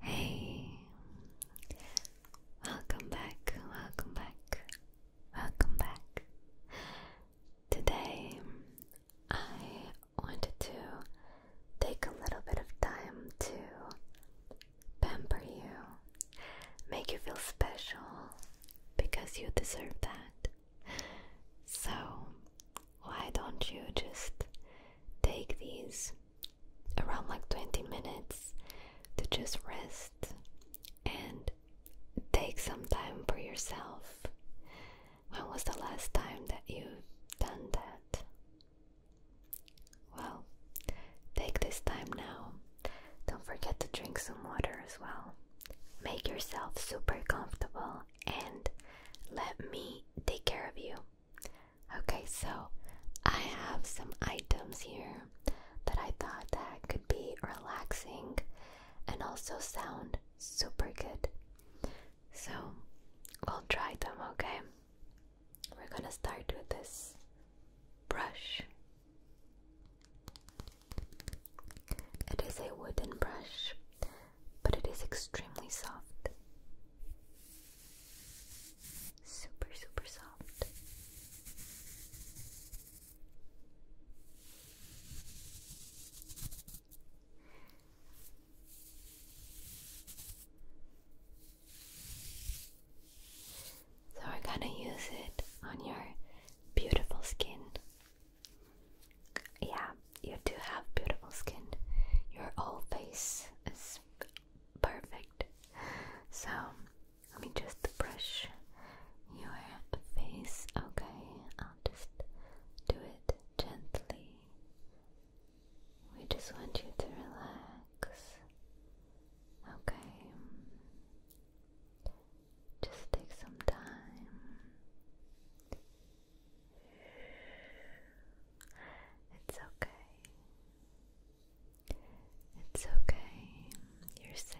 Hey, welcome back, welcome back, welcome back. Today I wanted to take a little bit of time to pamper you, make you feel special, because you deserve that. So, why don't you just take these around like 20 minutes to just rest and take some time for yourself? When was the last time that you've done that? Well, take this time now don't forget to drink some water as well. Make yourself super comfortable and let me take care of you. Okay, so I have some items here that I thought that could be relaxing and also sound super good. So i will try them, okay? We're gonna start with this brush. It is a wooden brush, but it is extremely soft. Super, super soft. So we're gonna use it on your beautiful skin. Yeah, you do have beautiful skin. Your whole face is perfect. So let me just brush your face, okay? I'll just do it gently. We just want you to relax. Okay. Just take some time. It's okay. It's okay. You're safe.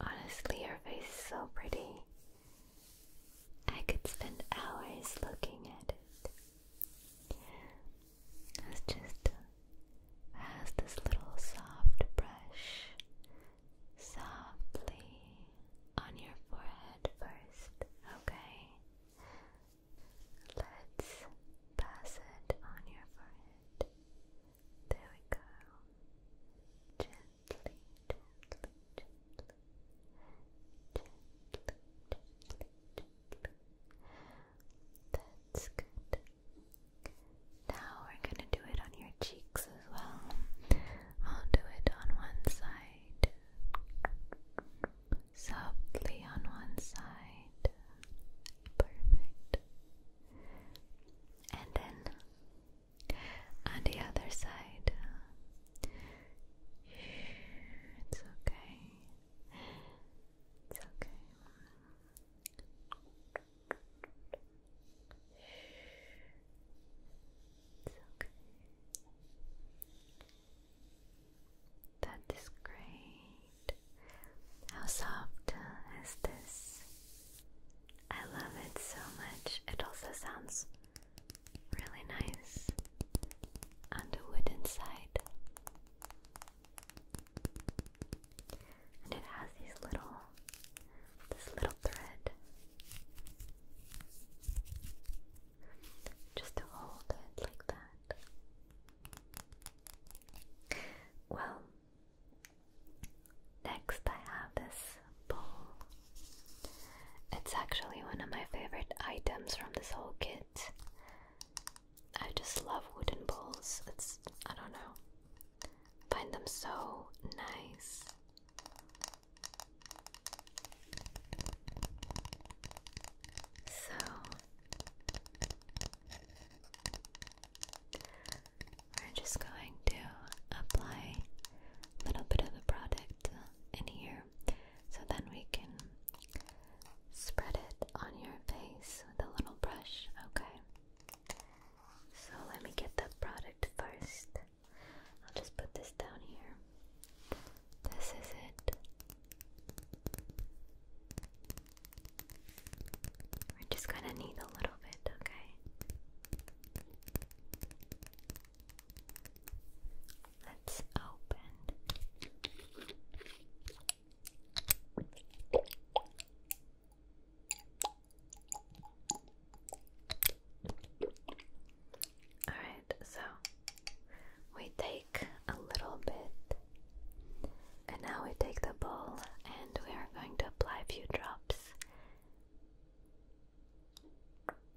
Honestly, your face is so pretty. I could spend hours looking at it. It's just uh, this little soft brush softly on your forehead first, okay? Let's pass it on your forehead. There we go. Gently. That's good. Now we're gonna do it on your cheeks as well. I'll do it on one side, softly on one side. Perfect. And then on the other side. It's okay. It's okay. It's okay. That is great. How soft is this? I love it so much. It also sounds really nice on the wooden side. And it has these little this little thread just to hold it like that. Well, Next, I have this bowl. It's actually one of my favorite items from this whole kit. I just love wooden bowls. It's, I don't know, find them so nice. So, we're just going to apply a little bit of the product in here so then we can spread it on your face with a little brush, okay? So let me get the product first. I'll just put this down here. This is it. We're just gonna need a little bit, okay? Let's open. All right, so we take a little bit, and now we take the bowl and we are going to apply a few drops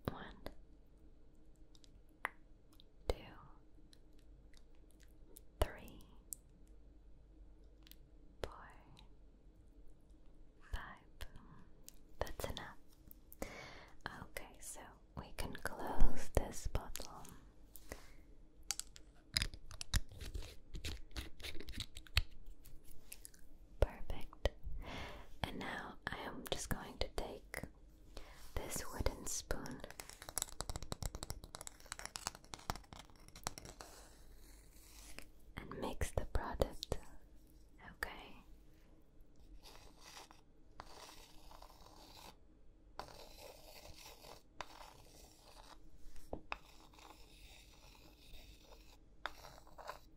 one, two, three, four, five. That's enough. Okay, so we can close this bottle. Perfect. And now I am just going to take this wooden spoon. And mix the product. Okay.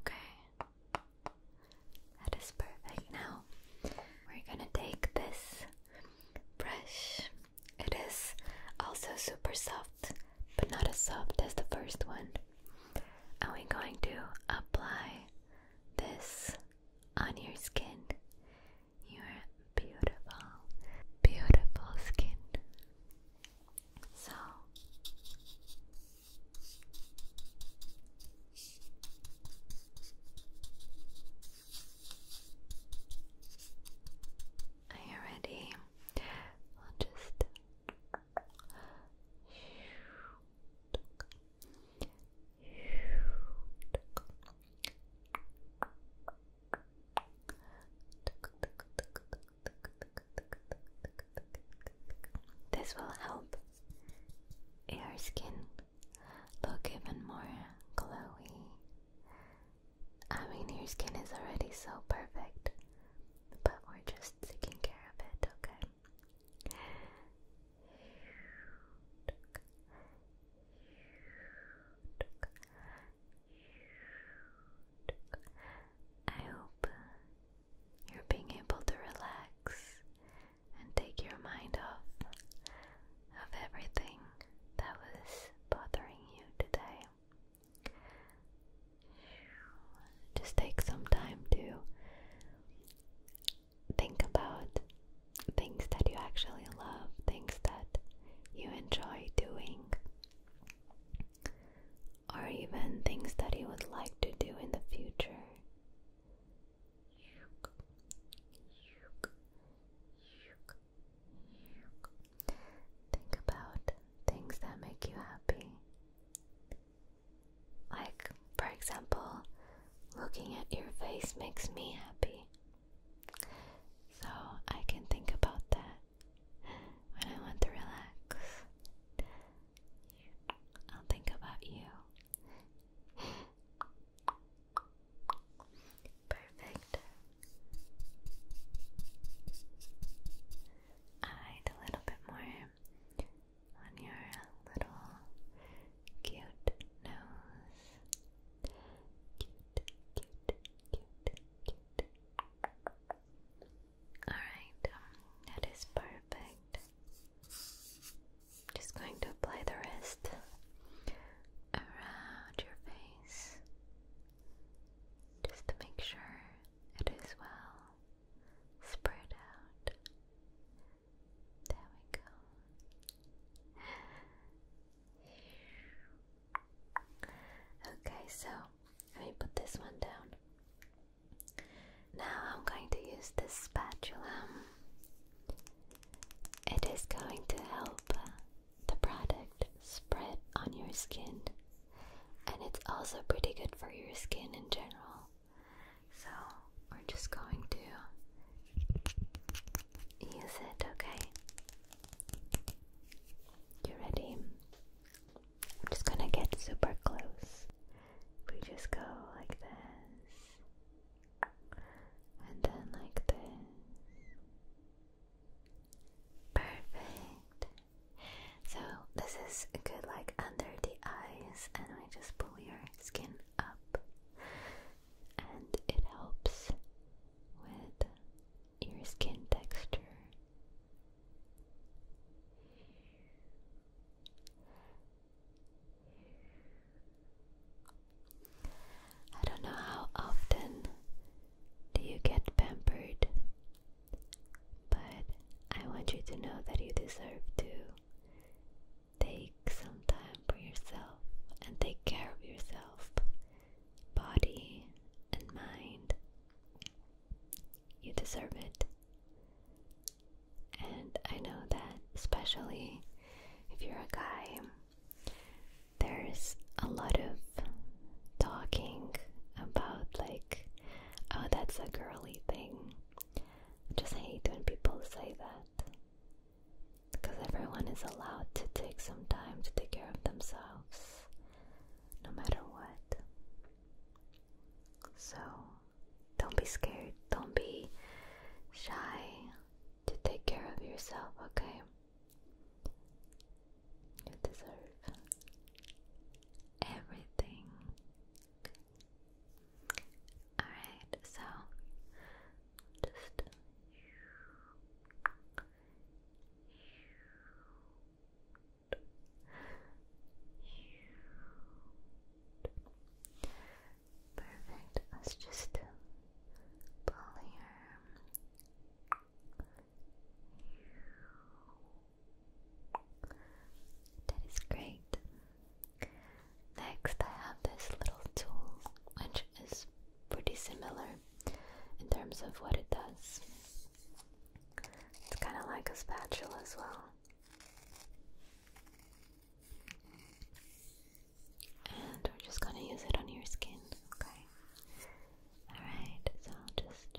Okay. That is perfect. Now we're gonna take this brush. It is also super soft, but not as soft as the first one. And we're going to apply this on your skin, your beautiful, beautiful skin. So, are you ready? I'll just this will help your skin look even more glowy. I mean, your skin is already so perfect, but we're just taking care of it, okay? I hope you're being able to relax and take your mind off of everything that was bothering you today. Just take some time to think about things that you actually love, things that you enjoy doing, or even things that he would like to do in the future. Think about things that make you happy. Like, for example, looking at your face makes me happy. So I can think about that when I want to relax. I'll think about you. Perfect. I'd a little bit more on your little cute nose. Cute, cute, cute, cute. Alright, um, that is perfect. Just going to apply the rest around your face just to make sure it is well spread out. There we go. Okay, so let me put this one down. Now I'm going to use this spatula. It is going to help uh, the product spread on your skin, and it's also pretty good for your skin in general. So we're just going to use it, okay? You ready? I'm just gonna get super close. We just go like this, and then like this. Perfect. So, this is good, like under the eyes, and I just pull your skin up, and it helps with your skin texture I don't know how often do you get pampered, but I want you to know that you deserve to take some time for yourself and take care of yourself, body and mind. You deserve it. And I know that, especially if you're a guy, there's a lot of talking about, like, oh, that's a girly thing. I just hate when people say that. Because everyone is allowed to take some time to take care of themselves no matter what. So don't be scared, don't be shy to take care of yourself, okay? You deserve everything. Alright, so just Perfect. Let's just pull here. That is great. Next, I have this little tool, which is pretty similar in terms of what it does. It's kind of like a spatula as well. And we're just gonna use it on your skin, okay? Alright, so just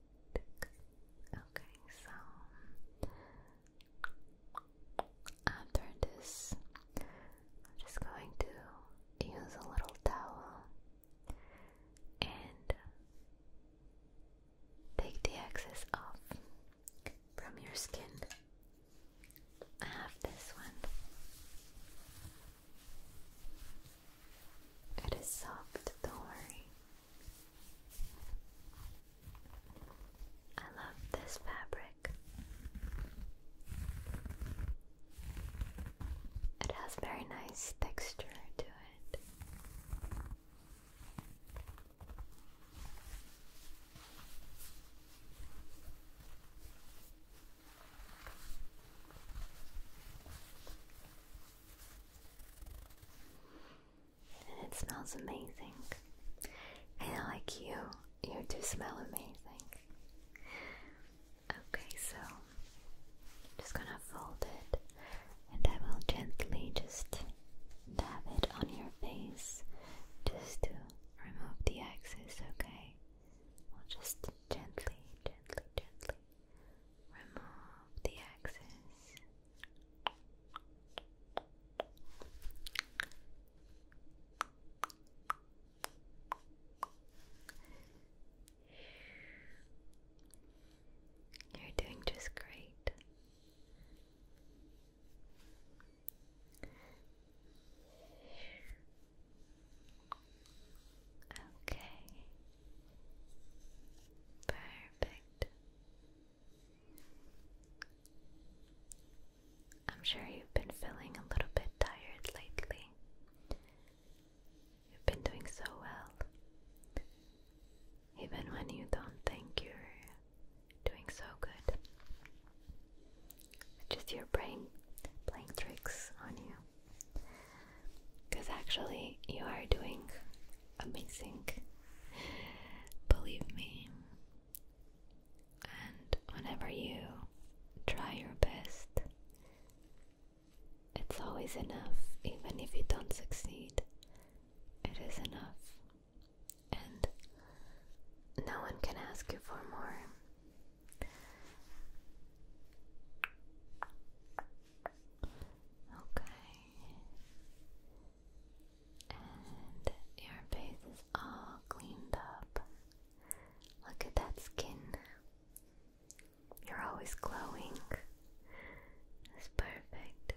Okay, so after this, I'm just going to use a little towel and take the excess off from your skin. I have this one. It is soft, don't worry. I love this fabric. It has very nice texture to it and it smells amazing. And like you, you do smell amazing. Okay, so I'm just gonna fold it and I will gently just dab it on your face just to remove the excess, okay? We'll just gently, gently, gently remove the excess. You're doing just great. Okay. Perfect. I'm sure you've been feeling a little bit tired lately. You've been doing so well. Even when you don't think you're doing so good. It's just your brain playing tricks on you. Because actually, you are doing amazing, believe me. And whenever you try your best, it's always enough, even if you don't succeed, it is enough, and no one can ask you for more. Okay. And your face is all cleaned up. Look at that skin. You're always glowing. It's perfect.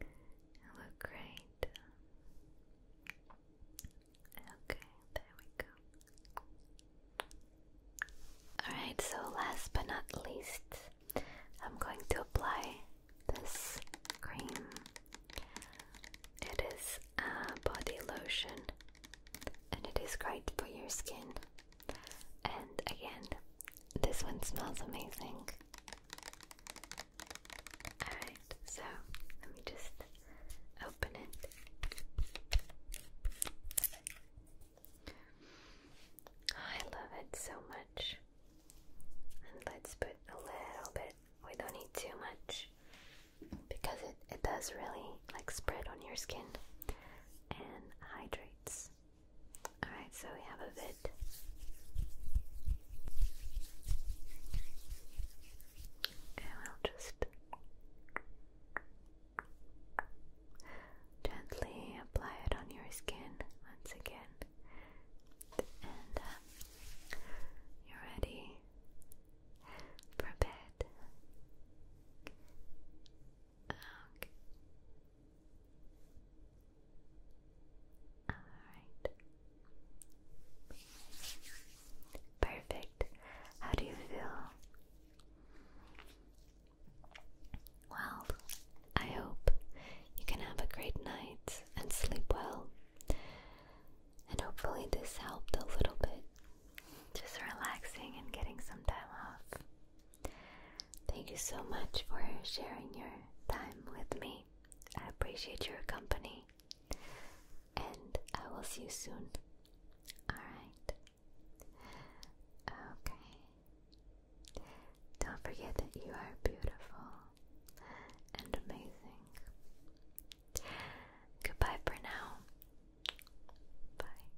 You look great. Okay, there we go. Alright, so last but not least, I'm going to apply this cream. It is a body lotion and it is great for your skin. And again, this one smells amazing. Alright, so let me just open it. I love it so much let's put a little bit, we don't need too much because it, it does really like spread on your skin and hydrates. Alright, so we have a bit. And we'll just gently apply it on your skin once again. Um, you're ready for bed. Okay. All right. Perfect. How do you feel? Well, I hope you can have a great night and sleep well. And hopefully, this helped a little bit. Just relaxing and getting some time off. Thank you so much for sharing your time with me. I appreciate your company. And I will see you soon. Alright. Okay. Don't forget that you are beautiful and amazing. Goodbye for now. Bye.